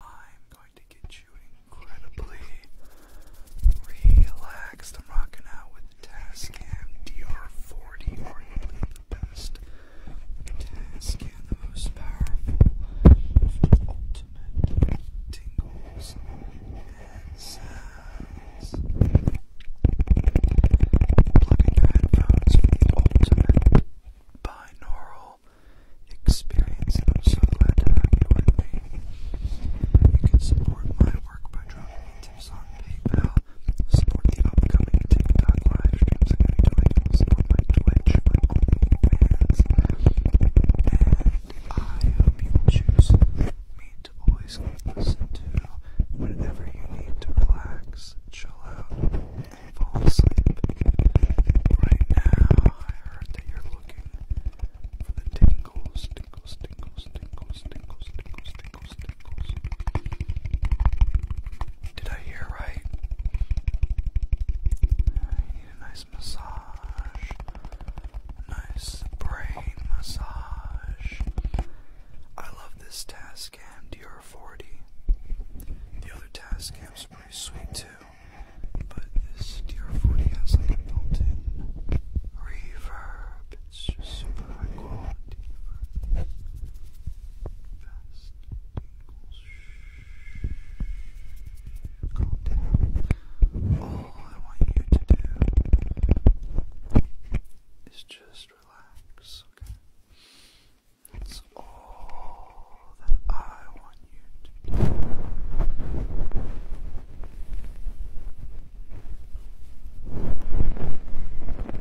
I'm going to get you incredibly relaxed. I'm rocking out with Tascam DR40, arguably the best Tascam, the most powerful, ultimate tingles and sounds. your headphones for ultimate binaural experience. I'm so glad to have you with me. You can support my work by dropping tips on PayPal, support the upcoming TikTok live streams I'm going to be doing, my Twitch, my OnlyFans, I hope you choose me to always listen to whenever you need to relax, chill out, fall asleep. Right now, I heard that you're looking for the tingles, tingles, tingles, tingles, tingles, tingles, tingles, tingles. Did I hear right? You need a nice massage, nice brain massage. I love this task Tascam DR40. The other task Tascam's pretty sweet too. But this Dear Footy has like built-in reverb. It's just super high quality for fast English content. All I want you to do is just relax, okay? It's all that I want you to do.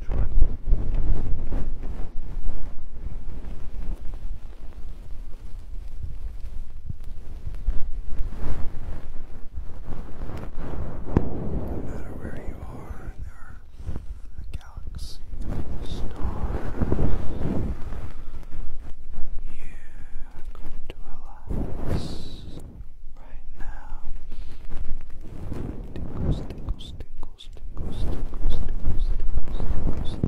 No matter where you are galaxy stars. You're going to relax right now. Tickles, tickles, tickles, tickles, tickles, tickles, tickles, tickles, tickles,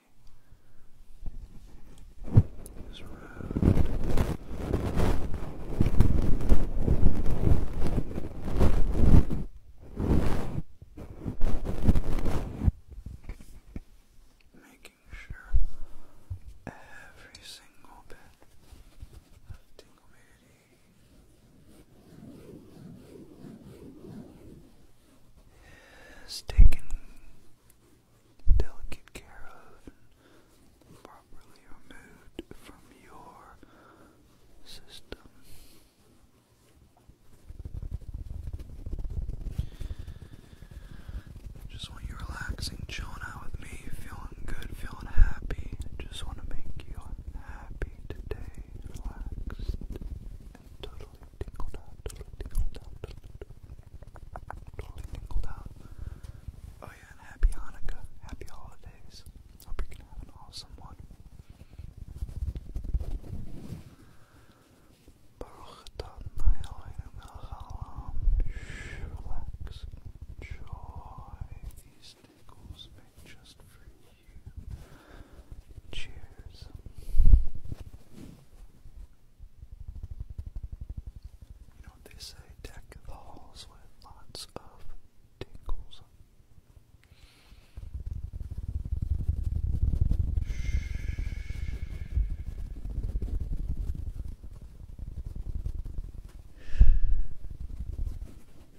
is round. Making sure every single bit of tingle beauty is taken delicate care of properly removed from your system. Just want you relaxing, chilling out with me, feeling good, feeling happy. Just want to make you happy today, relaxed totally tingled out, totally tingled out, totally tingled out. Oh yeah, happy Hanukkah, happy holidays. Hope you can have an awesome one. Baruch Relax, enjoy. These tickles make just Cheers. You know they say, deck the halls with lots of tingles. Shh.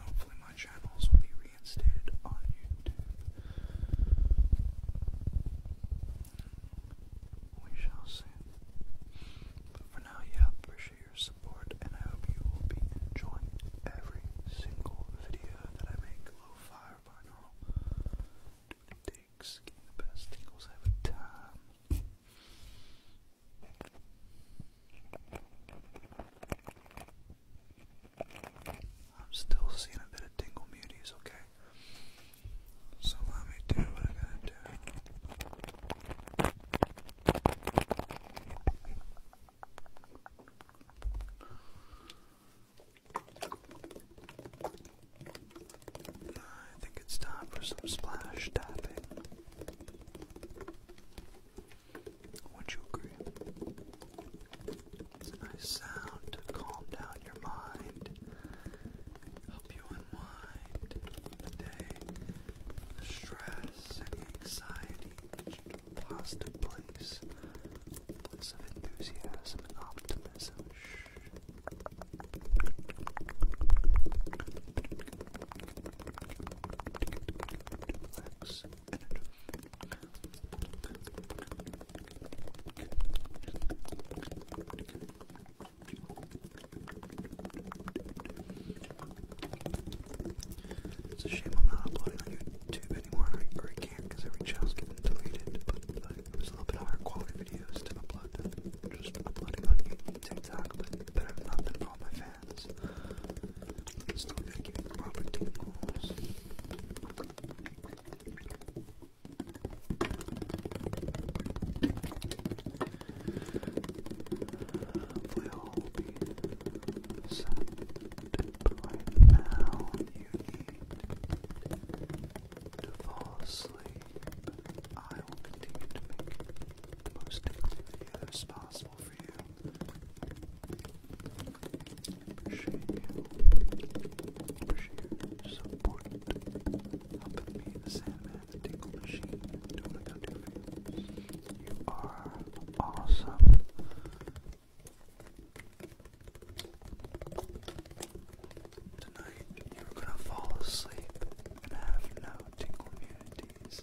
Hopefully, my channels will be reinstated on YouTube. We shall see. But for now, yeah, appreciate your support, and I hope you will be enjoying every single video that I make. Low oh, fire Do what it takes, the best tingles every time. I'm still seeing a bit of tingle muties, okay? So let me do what I gotta do. I think it's time for some splash tapping. Would you agree? It's a nice sound to calm down your mind, help you unwind the day, the stress and anxiety into a place, place enthusiasm and optimism. Relax. It's a shame I'm not uploading on YouTube anymore, or I can't because every channel's getting deleted, but like, was a little bit higher quality videos to upload just uploading on YouTube TikTok, but, but not been on my family hands. Stop giving proper tingles. Play now, you need to fall asleep. I will continue to make the most difficult videos possible responsible for you. Appreciate you. the Sandman, the Tingle Machine, doing what I do for you. You are awesome. Tonight, you're gonna fall asleep and have no tingle immunities.